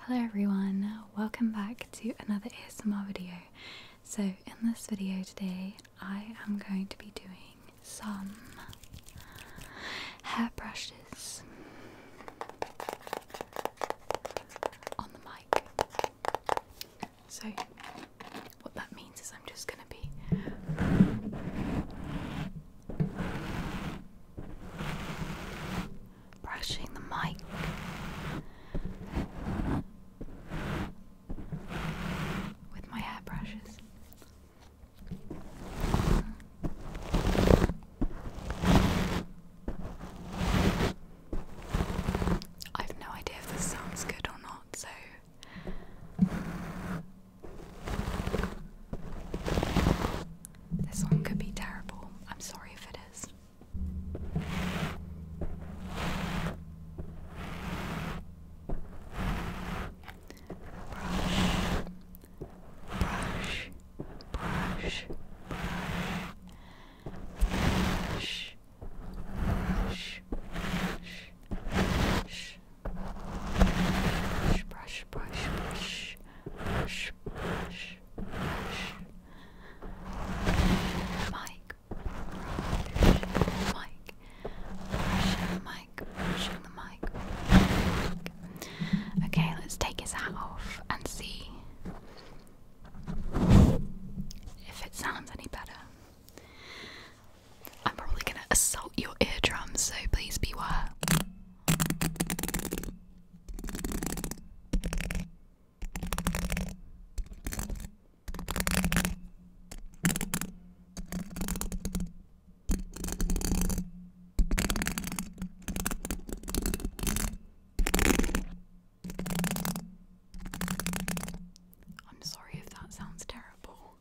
Hello everyone, welcome back to another ASMR video. So in this video today I am going to be doing some hair brushes on the mic. So what that means is I'm just going to be brushing the mic. With my hairbrushes. I've no idea if this sounds good or not, so this one could be terrible. I'm sorry if it is. Brush, brush, brush, brush, brush, brush, brush, brush, brush, brush, brush, brush, brush, brush. Mic, brush, mic, brush, mic, brush the mic. Okay, let's take his hat off and see if it sounds any better. I'm probably gonna assault your eardrums, so please beware. I'm sorry if that sounds terrible.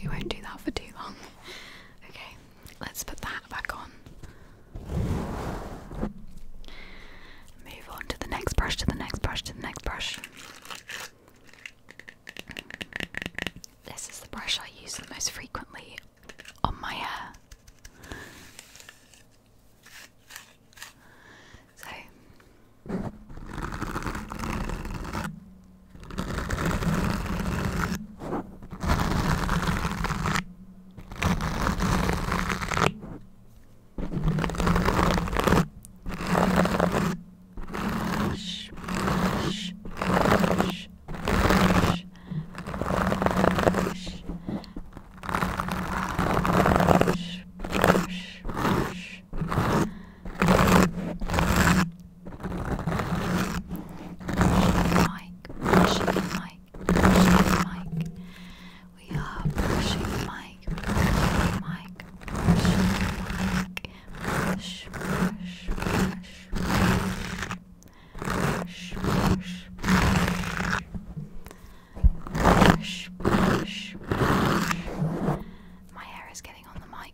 We won't do that for too long. Okay, let's put that back on. Move on to the next brush, to the next brush, to the next brush. This is the brush I use the most frequently on my hair. So brush, brush, brush, brush, brush. Brush, brush, brush. Brush the mic, brush the mic, brush the mic. We are pushing Mike, pushing Mike, pushing Mike, push, push, push, push, push, push, push, push, push. My hair is getting on the mic.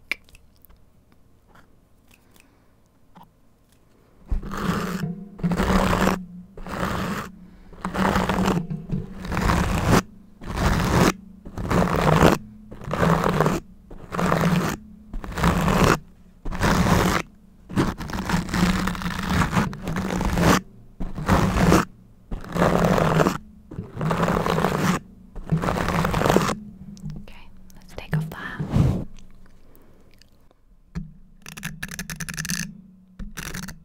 Okay, let's take off the hat. Okay,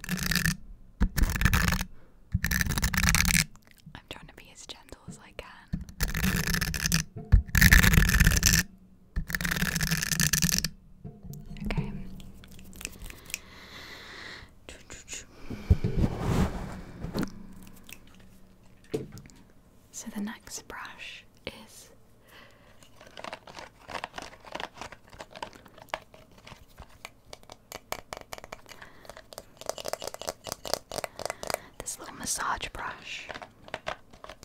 I'm trying to be as gentle as I can. Okay. So the next brush is this little massage brush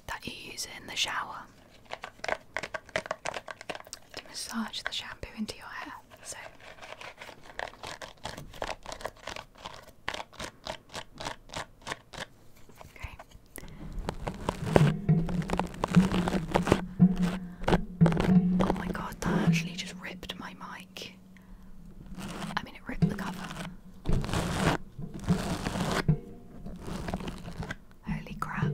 that you use in the shower to massage the shampoo into your hair. So Okay. Oh my god, that actually just ripped my mic. I mean, it ripped the cover. Holy crap.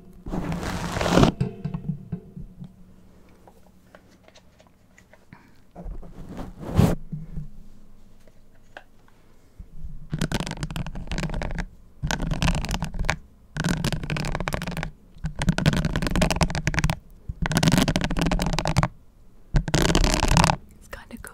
It's kind of cool.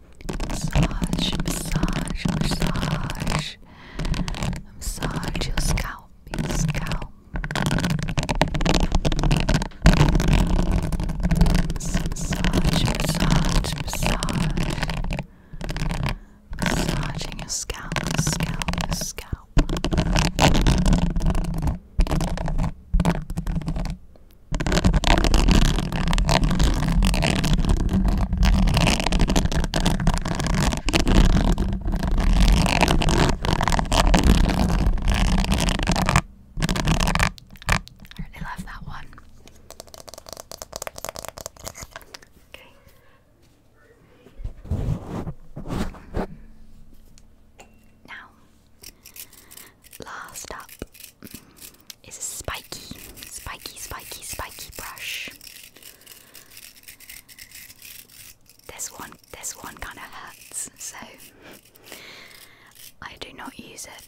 Massage, massage, massage. Massage your scalp, your scalp. Massage, massage, massage. Massaging your scalp, your scalp, your scalp. I really love that one. Okay. Now, last up, it's a spiky, spiky, spiky, spiky brush. This one, this one kind of hurts, so I do not use it.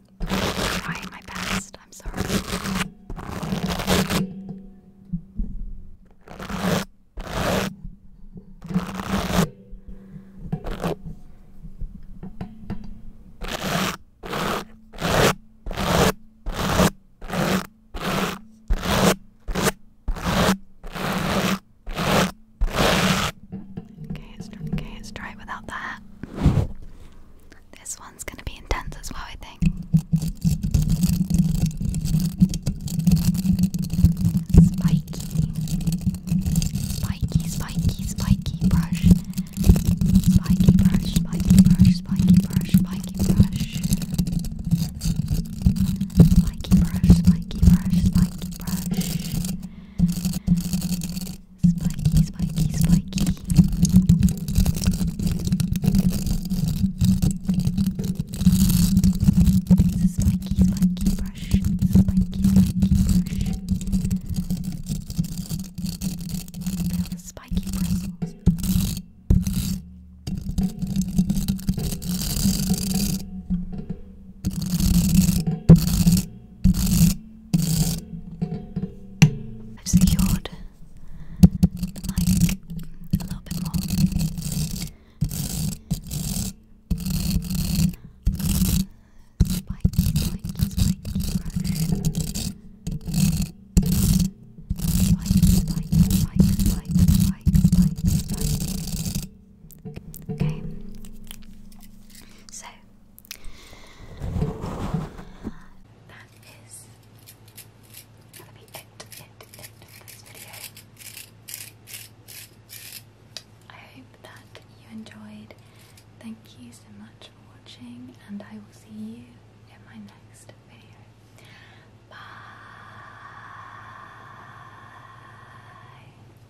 I'm trying my best. I'm sorry. Okay, it's, okay, it's dry without that. This one's gonna be intense as well, I think. Spiky, spiky, spiky, spiky brush. Spiky brush, spiky brush, spiky brush, spiky brush. Spiky brush, spiky brush, spiky brush. Spiky, spiky, spiky. It's a spiky, spiky brush. Spiky, spiky brush. Feel the spiky bristles. Spiky, I've secured the mic a little bit more. Spike, spike, spike, spike, spike, spike, spike. Okay. So that is gonna be it, it, it for this video. I hope that you enjoyed. Thank you so much for watching, and I will see you in my next video. Bye.